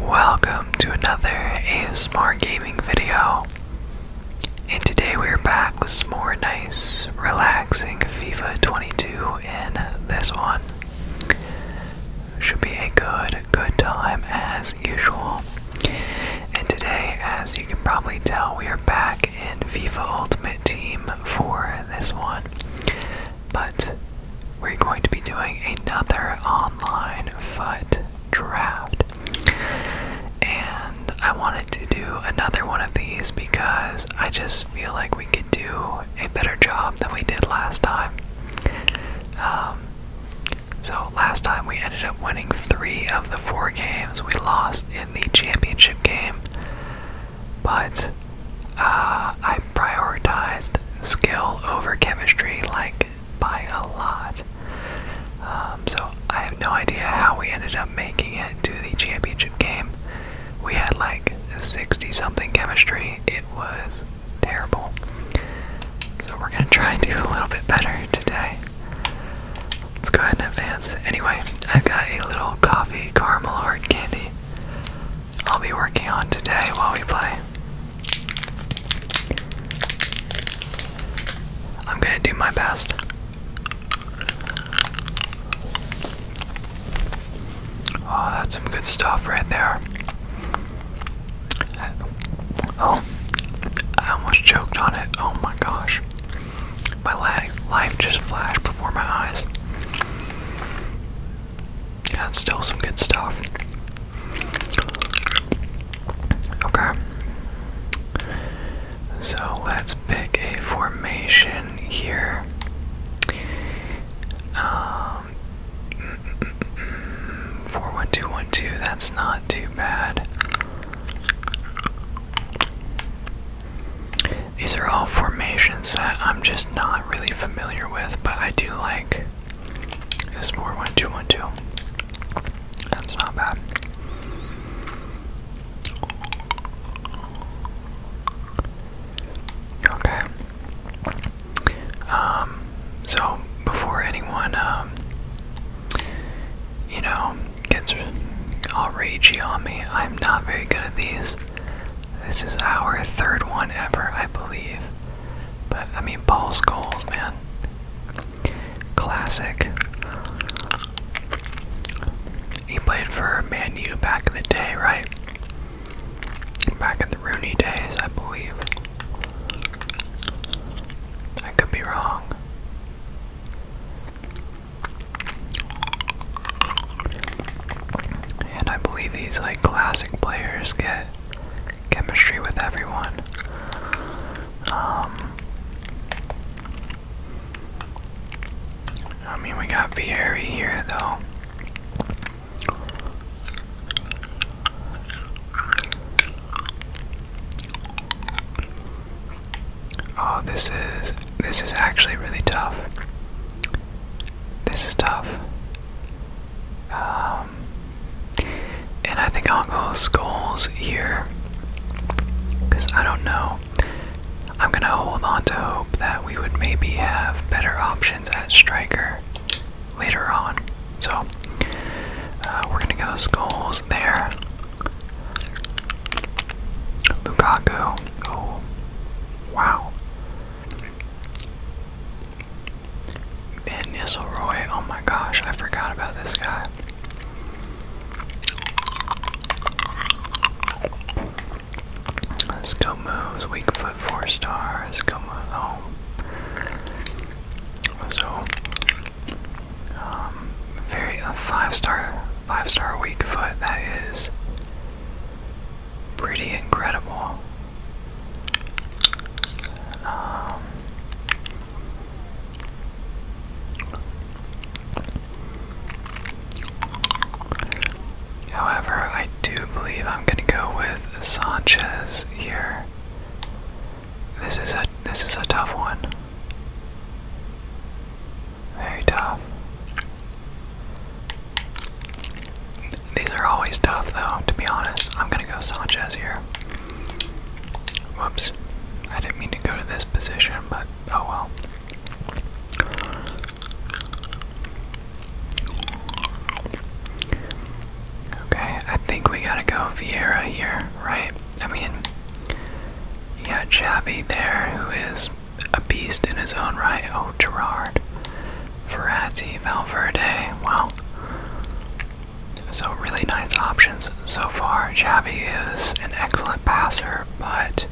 Welcome to another ASMR gaming video. And today we're back with more nice, relaxing FIFA 22 in this one. Should be a good, good time as usual. And today, as you can probably tell, we are back in FIFA Ultimate Team for this one. But we're going to be doing another online foot draft. And I wanted to do another one of these because I just feel like we could do a better job than we did last time. Um, so last time we ended up winning three of the four games we lost in the championship game. But uh, I prioritized skill over chemistry like by a lot. Um, so I have no idea how we ended up making it to the championship game. We had like a 60 something chemistry. It was terrible. So we're gonna try and do a little bit better today. Let's go ahead and advance. Anyway, I've got a little coffee caramel hard candy I'll be working on today while we play. I'm gonna do my best. Oh, that's some good stuff right there. Oh, I almost choked on it. Oh my gosh. My life just flashed before my eyes. That's still some good stuff. Okay. So let's pick a formation here. Um, 41212, that's not too bad. These are all formations that I'm just not really familiar with, but I do like it's more one two one two. That's not bad. Okay. Um. So before anyone, um, you know, gets all ragey on me, I'm not very good at these. This is our third one ever, I believe. But I mean, Paul's goals, man. Classic. He played for Man U back in the day, right? Back in the Rooney days, I believe. I could be wrong. And I believe these like classic players get chemistry with everyone. Um, I mean, we got Vieri here, though. Oh, this is this is actually really tough. This is tough. Um, and I think I'll go skulls here. Because I don't know. I'm going to hold on to hope that we would maybe have better options at striker later on. So uh, we're going to go skulls there. Lukaku. Oh, wow. Ben Nisselroy, oh my gosh, I forgot about this guy. let weak foot four stars, go oh. So um, very a five star five star weak foot that is pretty incredible. Um, however, I do believe I'm going to go with Sanchez here. This is a this is a tough one. Very tough. These are always tough, though, to be honest. I'm going to go Sanchez here. Whoops. I didn't mean to go to this position, but oh well. Okay, I think we gotta go Vieira here, right? I mean, you got Xavi there, who is a beast in his own right. Oh, Gerard, Verratti, Valverde. Wow, so really nice options so far. Javi is an excellent passer, but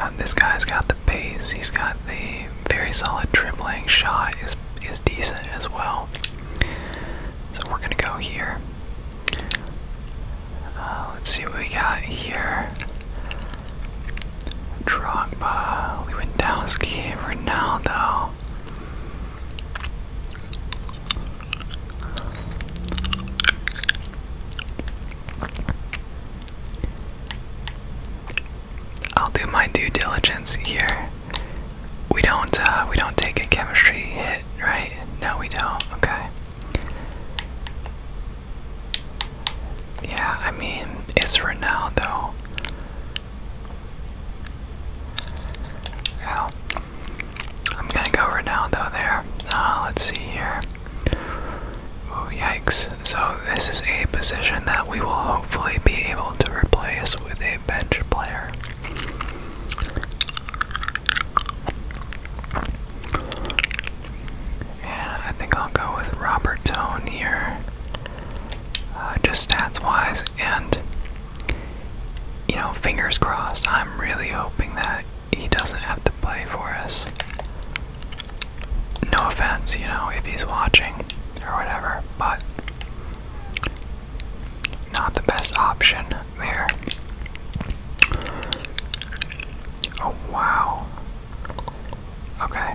um, this guy's got the pace. He's got the very solid dribbling shot. is is decent as well. So we're gonna go here. Uh, let's see what we got here. Drogba, Lewandowski, Ronaldo. I'll do my due diligence here. We don't uh, we don't take a chemistry hit, right? No, we don't. Okay. Yeah, I mean, it's Ronaldo. I'm gonna go Ronaldo there. Uh, let's see here. Oh, yikes. So, this is a position that we will hopefully be able to replace with a bench player. And I think I'll go with Robert Tone here. Uh, just stats wise. And, you know, fingers crossed, I'm really hoping that he doesn't have to play for us. No offense, you know, if he's watching or whatever, but not the best option there. Oh wow. Okay,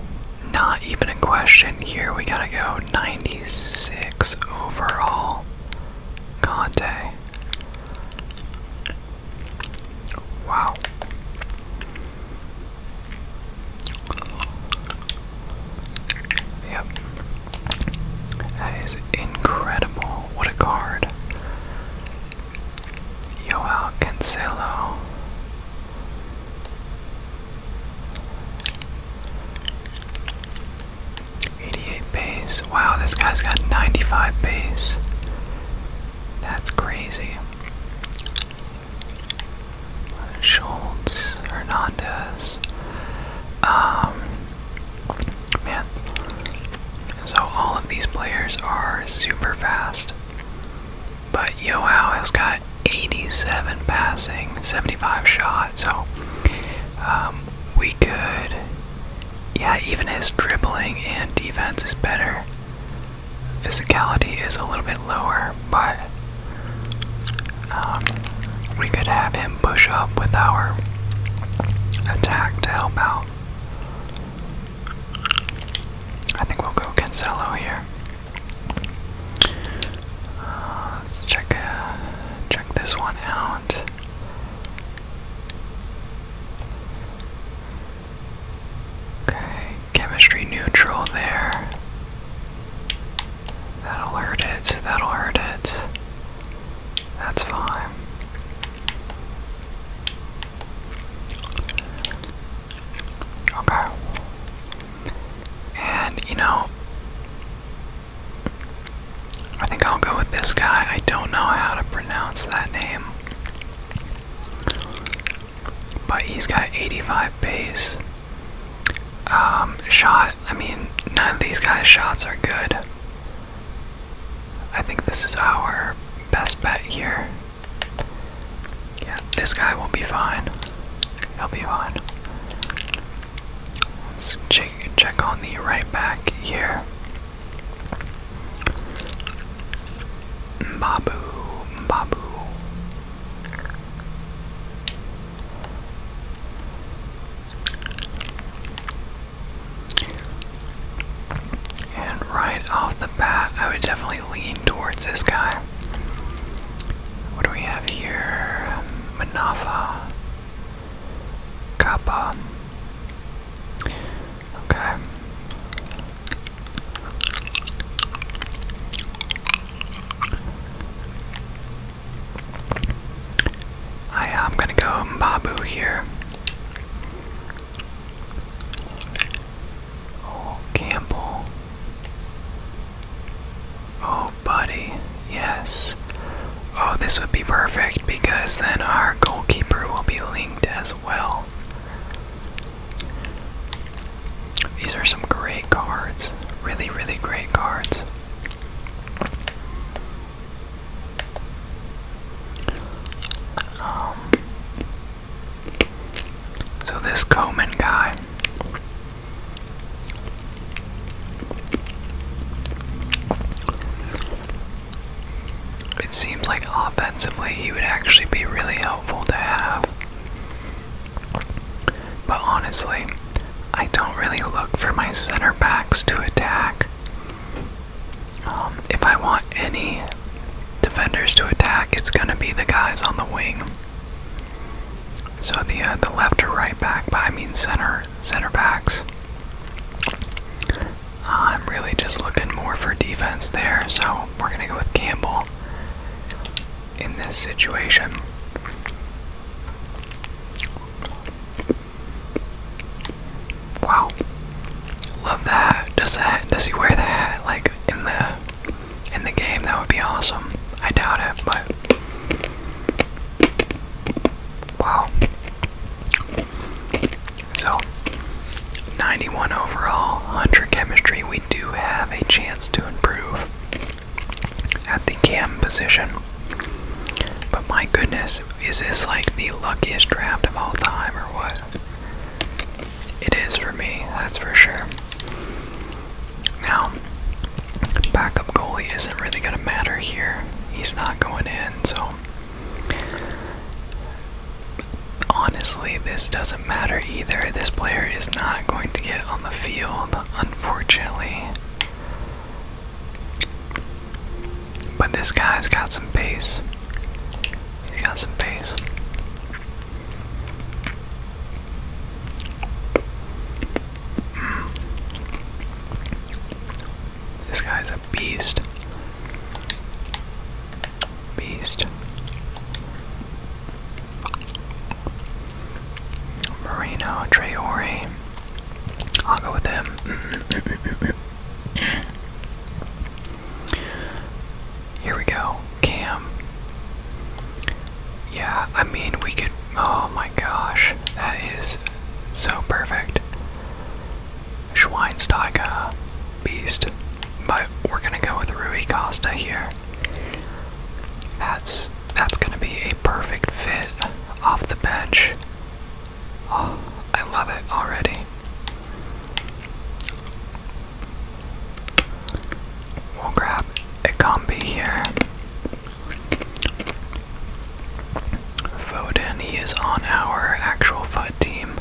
not even a question here. We gotta go 96 overall. Conte. Wow. Yep. That is incredible. What a card. Yoel Cancelo. 88 base. Wow, this guy's got 95 base. That's crazy. Scholz Hernandez. Um, man. So all of these players are super fast. But Yoao has got 87 passing, 75 shot, so um, we could. Yeah, even his dribbling and defense is better. Physicality is a little bit lower, but um, we could have him push up with our attack to help out. I think we'll go Cancelo here. Uh, let's check uh, check this one out. Okay, chemistry neutral there. That'll hurt it. That'll hurt it. That's fine. Okay. And, you know, I think I'll go with this guy. I don't know how to pronounce that name. But he's got 85 pace. Um, shot, I mean, none of these guys' shots are good. I think this is our best bet here. This guy will be fine. He'll be fine. Let's check, check on the right back here. Babu, Babu. And right off the bat, I would definitely lean towards this guy. What do we have here? Um, Manava, Kappa. Okay. I am uh, gonna go Mbabu here. Oh, Campbell. Oh, buddy, yes. Oh, this would be perfect because then our goalkeeper will be linked as well. These are some great cards. Really, really great cards. Um, so, this Komen guy, it seems like offensively he would actually be really helpful to have. But honestly, I don't really look for my center backs to attack. Um, if I want any defenders to attack, it's going to be the guys on the wing. So the uh, the left or right back, By I mean center center backs. Uh, I'm really just looking more for defense there, so we're gonna go with Campbell in this situation. Wow, love that. Does that? Does he wear the like in the in the game, that would be awesome. I doubt it, but wow. So 91 overall, 100 chemistry. We do have a chance to improve at the cam position. But my goodness, is this like the luckiest draft of all time or what? It is for me, that's for sure. Now, backup goalie isn't really going to matter here. He's not going in, so honestly, this doesn't matter either. This player is not going to get on the field, unfortunately. But this guy's got some pace. He's got some pace. This guy's a beast. Beast. Moreno, Traore. I'll go with him. Here we go. Cam. Yeah, I mean, we could Oh my gosh, that is so perfect. Schweinsteiger, beast. But we're gonna go with Rui Costa here. That's that's gonna be a perfect fit off the bench. Oh, I love it already. We'll grab a combi here. Foden, he is on our actual FUD team.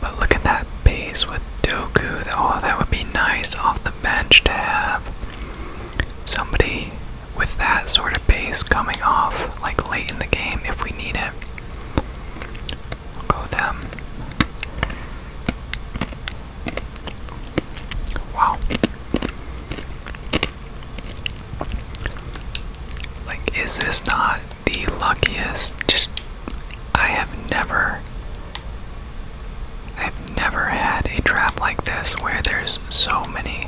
But look at that pace with Doku. Oh, that would be nice off the bench to have somebody with that sort of pace coming off like late in the game if we need it. go them. Wow. Like, is this not the luckiest? Just, I have never, I've never had a draft like this where there's so many,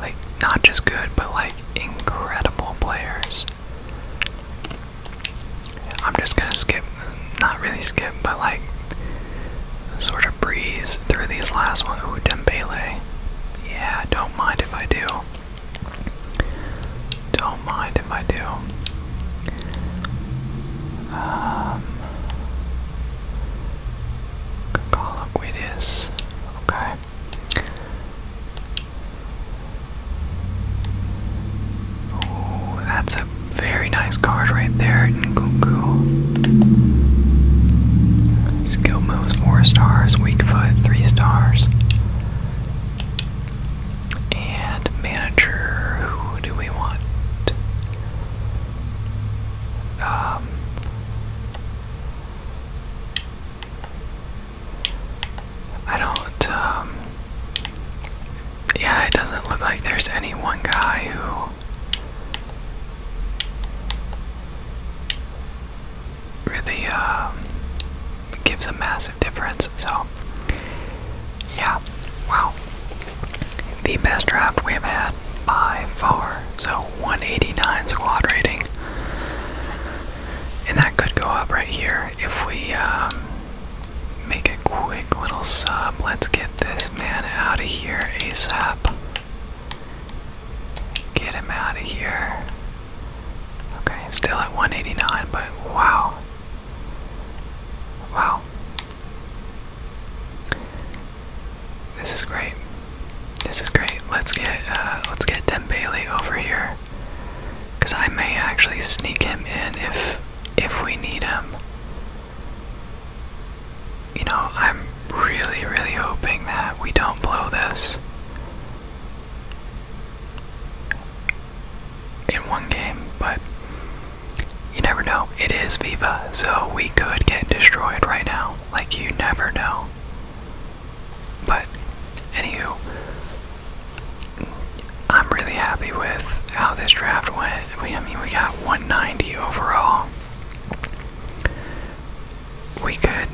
like, not just good, but like incredible players. I'm just gonna skip, not really skip, but like, sort of breeze through these last one. Ooh, Dembele. Yeah, don't mind if I do. Don't mind if I do. Um, Kakala Guidis. Okay. Ooh, that's very nice card right there in Goku. four stars, weak three stars. And manager, who do we want? Um, I don't. Um, yeah, it doesn't look like there's any one guy who really um, gives a massive difference. So, yeah, wow. The best draft we have had by far. So, 189 squad rating. And that could go up right here if we um, make a quick little sub. Let's get this man out of here ASAP. Get him out of here. Okay, still at 189, but wow. Wow. This is great. This is great. Let's get uh, let's get Dembele over here, cause I may actually sneak him in if if we need him you know, I'm really, really hoping that we don't blow this in one game, but you never know. It is Viva, so we could get destroyed right now. Like, you never know. But, anywho, I'm really happy with how this draft went. We, I mean, we got 190 overall. We could,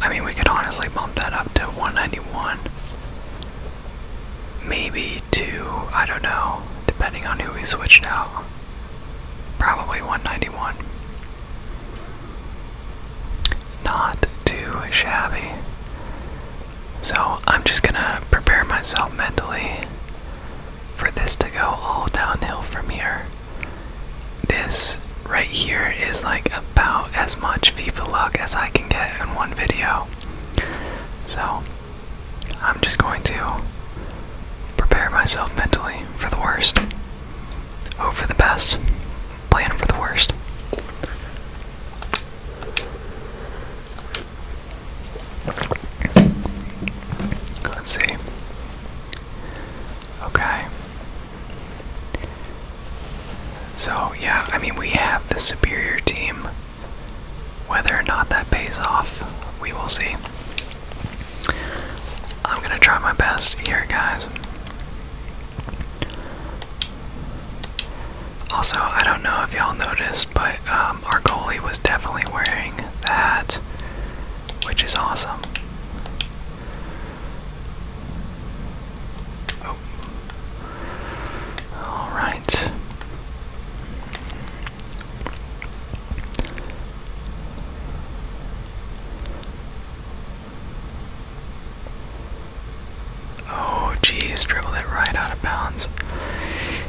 I mean, we could honestly bump that up to 191. Maybe to, I don't know, depending on who we switch out. Probably 191. Not too shabby. So I'm just gonna prepare myself mentally for this to go all downhill from here. This right here is like about as much FIFA luck as I can get in one video. So I'm just going to prepare myself mentally for the worst. Hope for the best. Plan for the worst. Let's see. Okay. So, yeah, I mean, we have the superior team. Whether or not that pays off, we will see. I'm gonna try my best here, guys. Also, I don't know if y'all noticed, but um, our goalie was definitely wearing that which is awesome. Oh. All right. Oh, geez, dribbled it right out of bounds.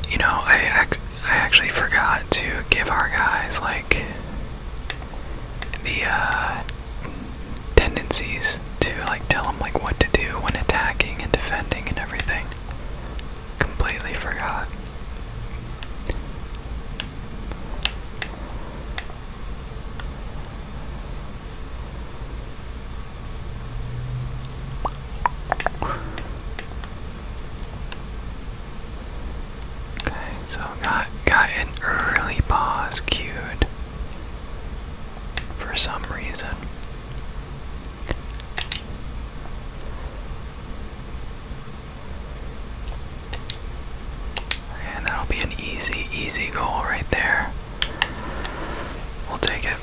You know, I I actually forgot to give our guys like the uh, tendencies to like tell them like what to do when attacking and defending and everything. Completely forgot. Okay, so got got an early pause queued for some reason. And that'll be an easy, easy goal right there. We'll take it.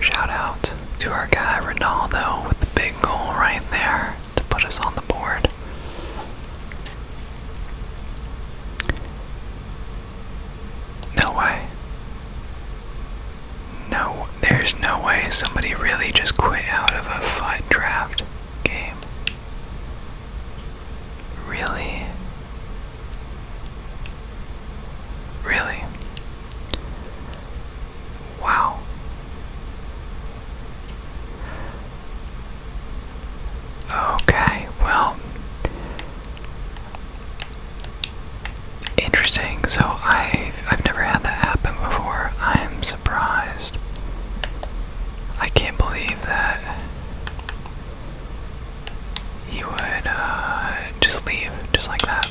Shout out to our guy Ronaldo with the big goal right there to put us on the board. No way. No, there's no way somebody really just quit out of a fight draft game. Really? Really? Wow. Okay, well. Interesting. So I've I've never had that happen before. I am surprised. I can't believe that he would uh, just leave just like that.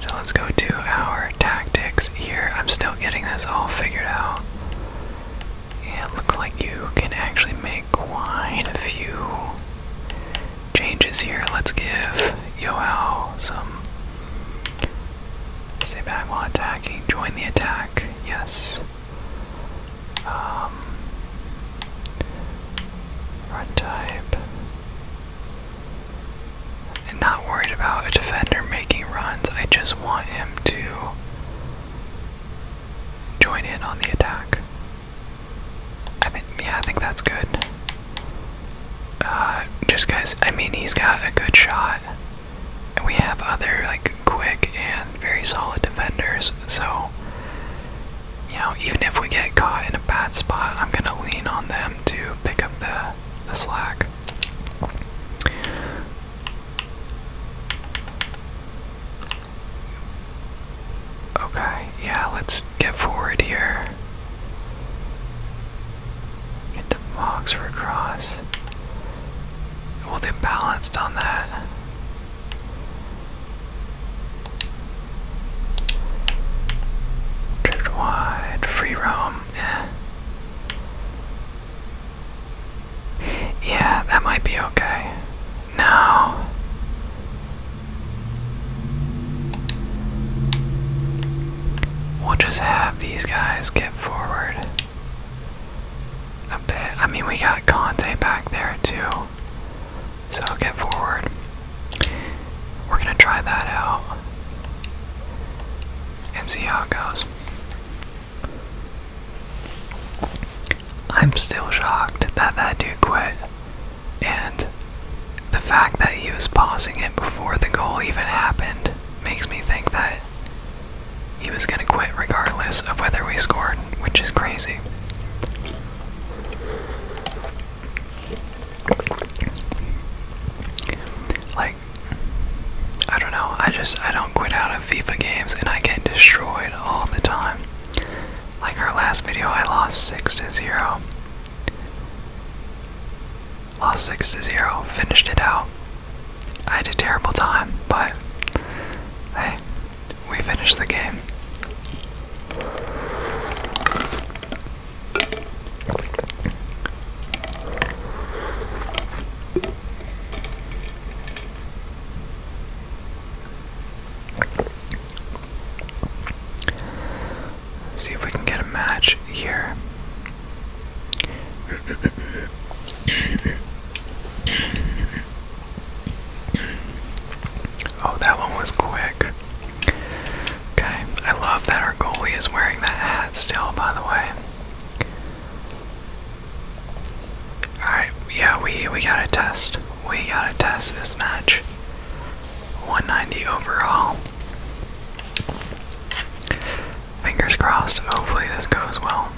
So let's go to our tactics here. I'm still getting this all figured out. Yeah, it looks like you can actually make quite a few changes here. Let's give Yoel some say. back while attacking. Join the attack. Yes. Um, run type. And not worried about a defender making runs. I just want him to join in on the attack. I think, yeah, I think that's good. Uh, just guys, I mean, he's got a good shot. And we have other, like, quick and very solid defenders. So, you know, even if we get caught in a bad spot, I'm going to lean on them to pick up the the slack. Okay, yeah, let's get forward here. Get the Mogs across. will they balanced on that. Drift wide, free roam yeah. Yeah, that might be okay. No. We'll just have these guys get forward a bit. I mean, we got Conte back there too. So get forward. We're gonna try that out and see how it goes. I'm still shocked that that dude quit, and the fact that he was pausing it before the goal even happened makes me think that he was gonna quit regardless of whether we scored, which is crazy. I don't know, I just I don't quit out of FIFA games and I get destroyed all the time. Like our last video I lost six to zero. Lost six to zero, finished it out. I had a terrible time, but hey, we finished the game see if we can get a match here. Oh, that one was quick. Okay, I love that our goalie is wearing that hat still, by the way. Alright, yeah, we, we gotta test. We gotta test this match. 190 overall. Fingers crossed, hopefully this goes well.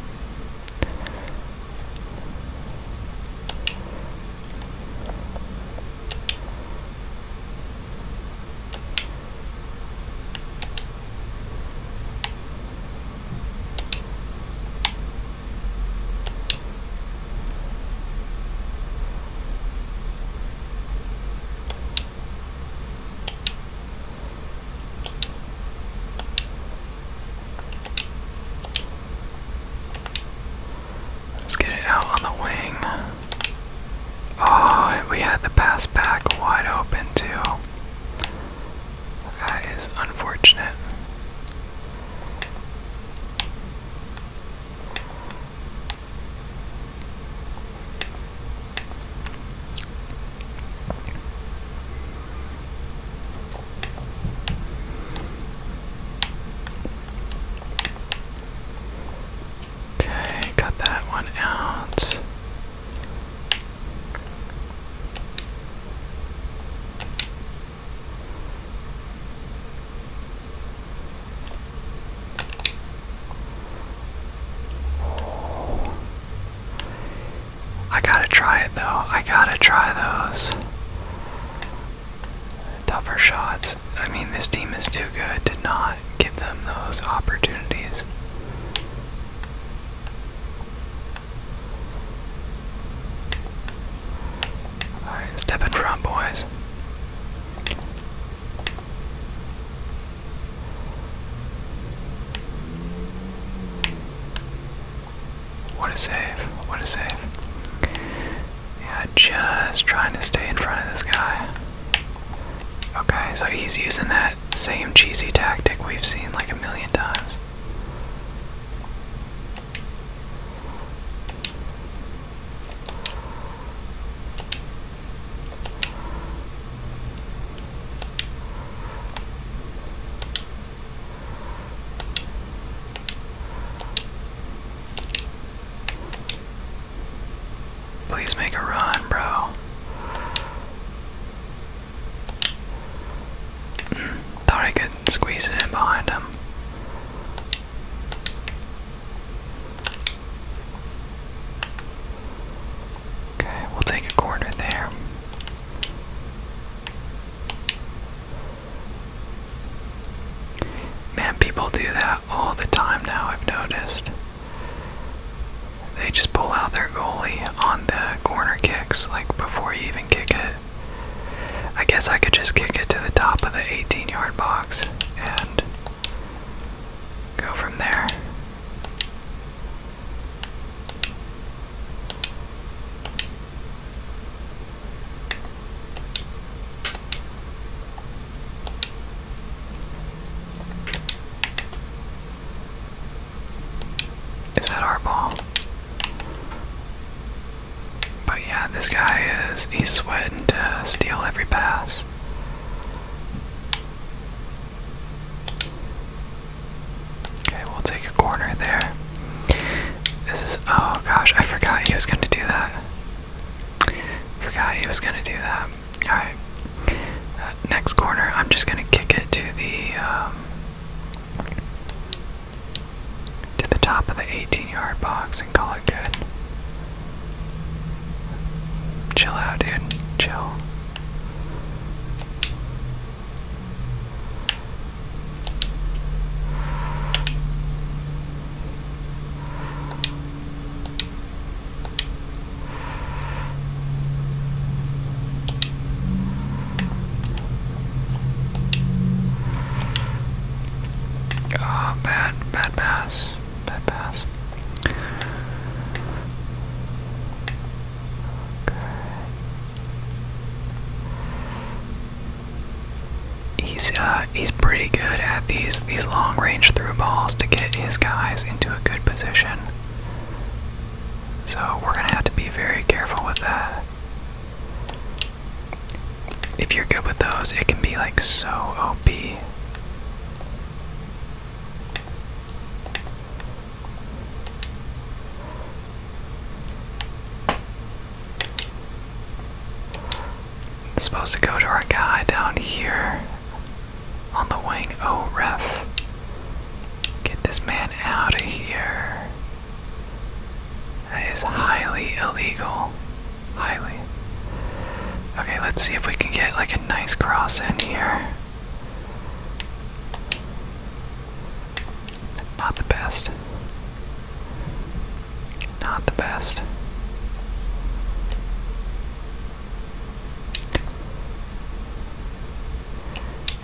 Let's get it out on the wing. Oh, we had the pass back wide open, too. That is unfortunate. Okay, got that one out. I gotta try it though. I gotta try those. Tougher shots. I mean, this team is too good to not give them those opportunities. Alright, step in front, boys. What a save. What a save. Yeah, just trying to stay in front of this guy. Okay, so he's using that same cheesy tactic we've seen like a million times. Please make a run, bro. Mm, thought I could squeeze in behind him. Okay, we'll take a corner there. Man, people do that all the time now, I've noticed. They just pull out their goalie on the corner kicks, like before you even kick it. I guess I could just kick it to the top of the 18 yard box and go from there. Is that our ball? But yeah, this guy is, he's sweating to steal every pass. Okay, we'll take a corner there. This is, oh gosh, I forgot he was gonna do that. Forgot he was gonna do that. Alright. Uh, next corner, I'm just gonna kick it to the um, to the top of the 18-yard box and call it good. Chill out, dude. Chill. Oh, bad, bad pass, bad pass. He's uh he's pretty good at these these long range through balls to get his guys into a good position. So we're going to have to be very careful with that. If you're good with those, it can be like so OP. It's supposed to go to our guy down here on the wing. Oh, ref. Get this man out of here. That is highly illegal. Highly. Okay, let's see if we can get like a nice cross in here. Not the best. Not the best.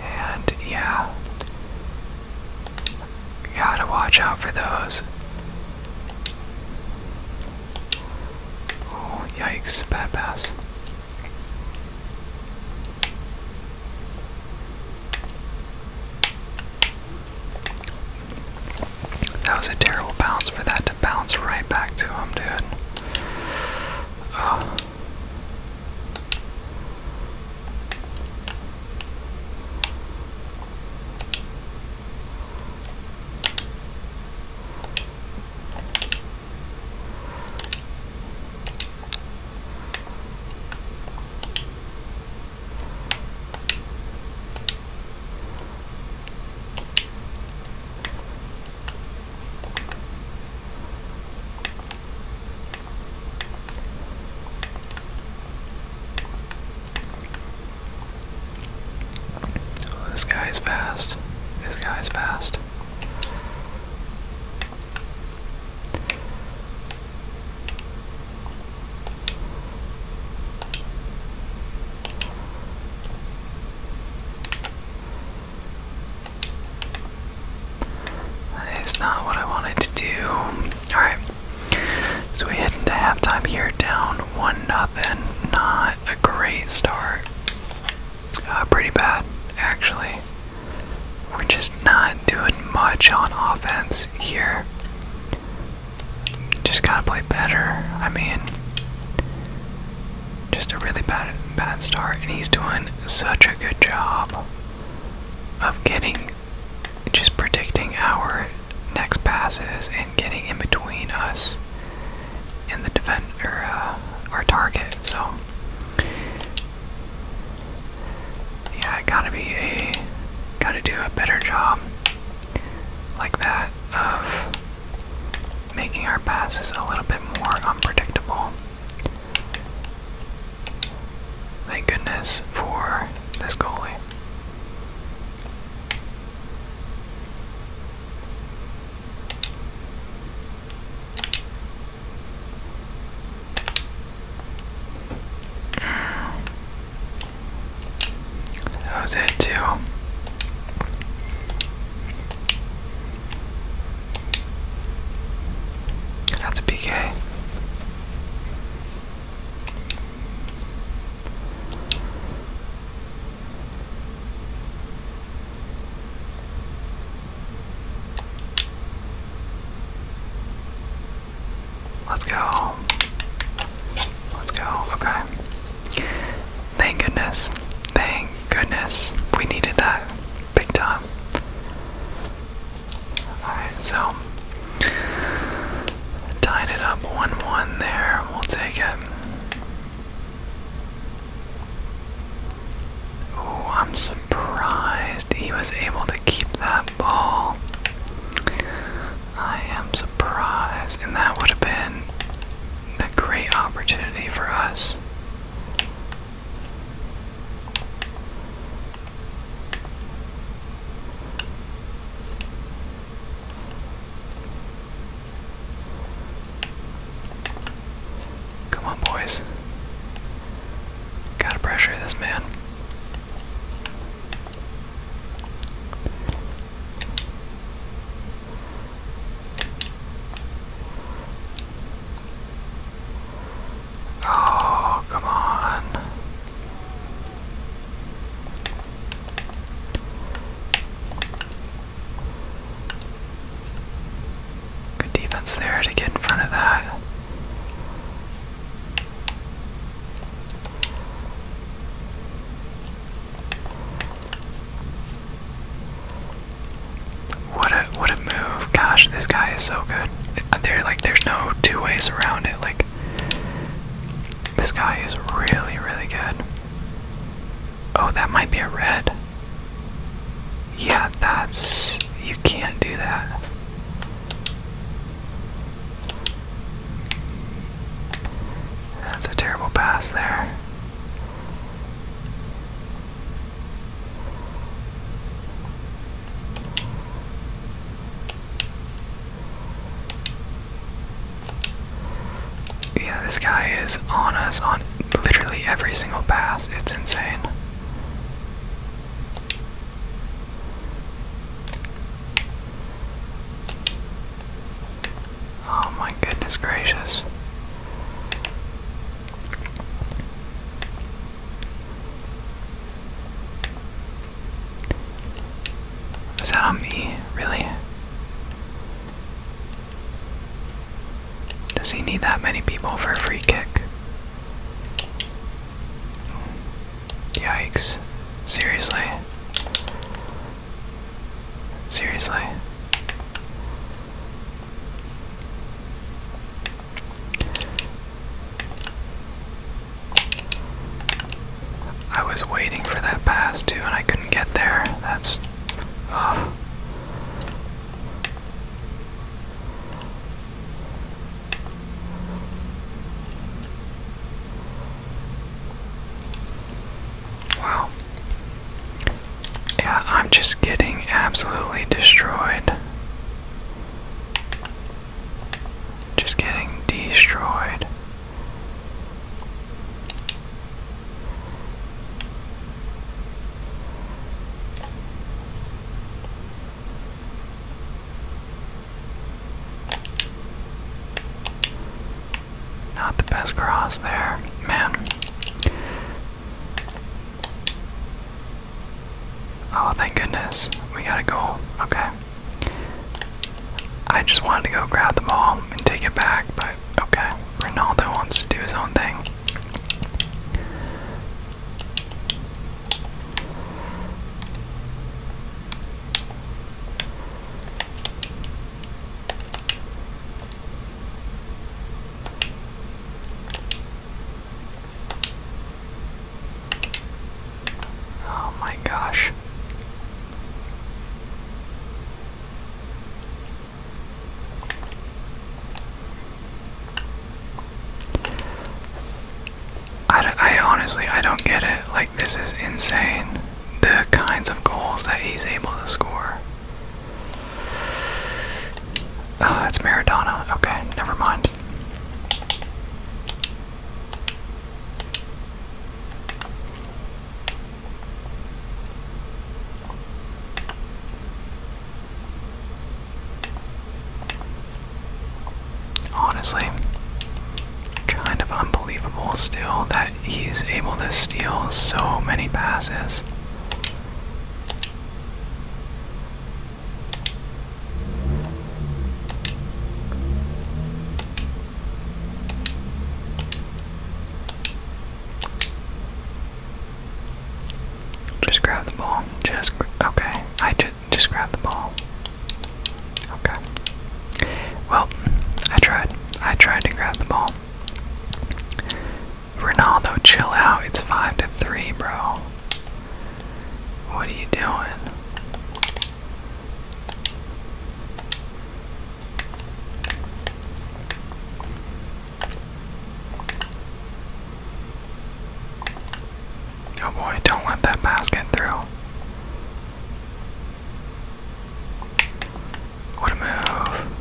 And yeah, gotta watch out for those. Oh, yikes, bad pass. That was a terrible bounce for that had to bounce right back to him, dude. Oh, this guy's past. This guy's past. It's not what I wanted to do. Alright. So we head into halftime here, down one nothing. Not a great start. Uh, pretty bad, actually. We're just not doing much on offense here. Just gotta play better. I mean, just a really bad bad start and he's doing such a good job of getting just predicting our next passes and getting in between us and the defender uh, our target so yeah gotta be a gotta do a better job like that of making our passes a little bit more unpredictable Thank goodness for this goalie. That too. That's a PK. Let's go. Let's go. Okay. Thank goodness. Thank goodness. We needed that big time. Alright, so tied it up 1 1 there. We'll take it. Ooh, I'm surprised he was able to keep that ball. I am surprised, and that would have been a great opportunity for us Come on, boys. Gotta pressure this man. Oh, come on. Good defense there to get in front of that. What a what a move! Gosh, this guy is so good. Uh, there, like, there's no two ways around it. Like, this guy is really, really good. Oh, that might be a red. Yeah, that's you can't do that. That's a terrible pass there. Yeah, this guy is on us on literally every single pass. It's insane. Oh my goodness gracious. Is that on me? Really? Does he need that many people for a free kick? Yikes. Seriously? Seriously? I was waiting for that pass too, and I couldn't get there. That's. wow. Yeah, I'm just getting absolutely destroyed. Just getting destroyed. Not the best cross there, man. Oh, thank goodness. We got to go. Okay. I just wanted to go grab the ball and take it back, but okay. Ronaldo wants to do his own thing. Oh my gosh. I, I honestly, I don't get it. Like, this is insane. The kinds of goals that he's able to score. Uh, it's Maradona. Okay, never mind. Honestly, kind of unbelievable still that he's able to steal so many passes. Just grab the ball. Just okay. I just just grab the ball. Okay. Well, I tried. I tried to grab the ball. Ronaldo, chill out. It's five to three, bro. What are you doing? Oh boy, don't let that pass get through. What move.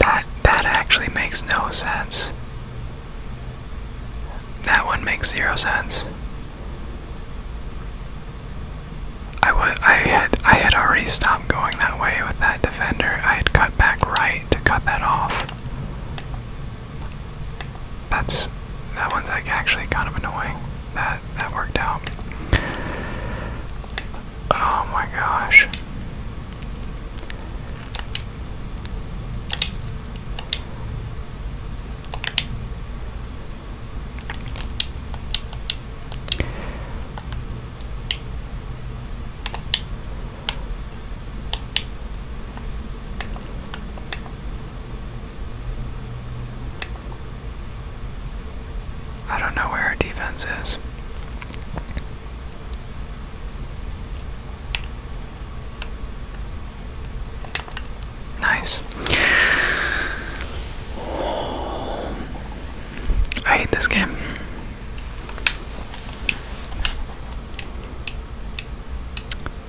That that actually makes no sense. That one makes zero sense. I would I had I had already stopped going that way with that defender. I had cut back right to cut that off. That's that one's like actually kind of annoying. That that worked out. Oh my gosh. I don't know where our defense is. Nice. I hate this game.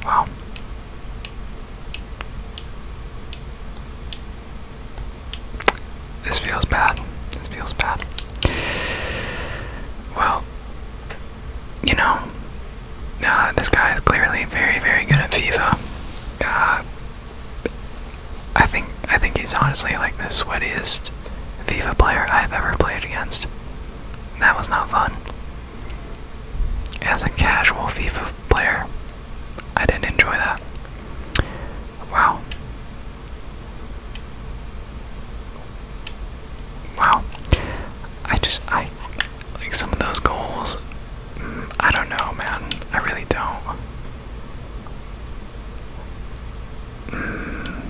Wow. This feels bad. This feels bad. Well, you know, uh, this guy is clearly very, very good at FIFA. Uh, I think I think he's honestly like the sweatiest FIFA player I've ever played against. That was not fun. As a casual FIFA player, I didn't enjoy that. Wow. Wow. I just, I, like some of those goals, mm, I don't know, man. I really don't. Mm.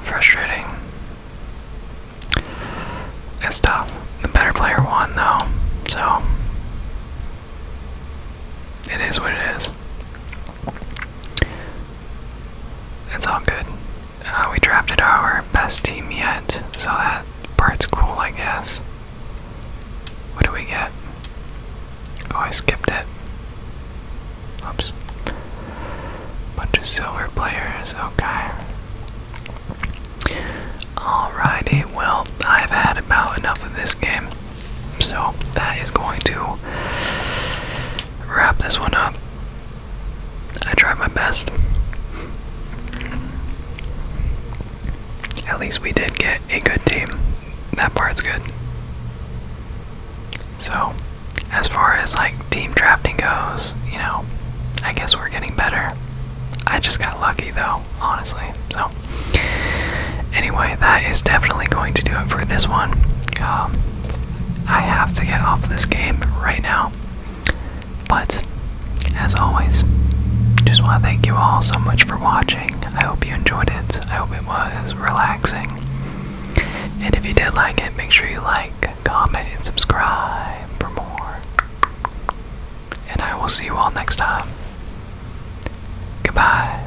Frustrating. It's tough. The better player won, though, so it is what it is it's all good. Uh, we drafted our best team yet, so that part's cool, I guess. What do we get? Oh, I skipped it. Oops. Bunch of silver players, okay. Alrighty, well, I've had about enough of this game. So that is going to wrap this one up. I tried my best. At least we did get a good team. That part's good. So, as far as like team drafting goes, you know, I guess we're getting better. I just got lucky though, honestly. So, anyway, that is definitely going to do it for this one. Um, I have to get off this game right now. But, as always, just want to thank you all so much for watching. I hope you enjoyed it. I hope it was relaxing. And if you did like it, make sure you like, comment, and subscribe for more. And I will see you all next time. Goodbye.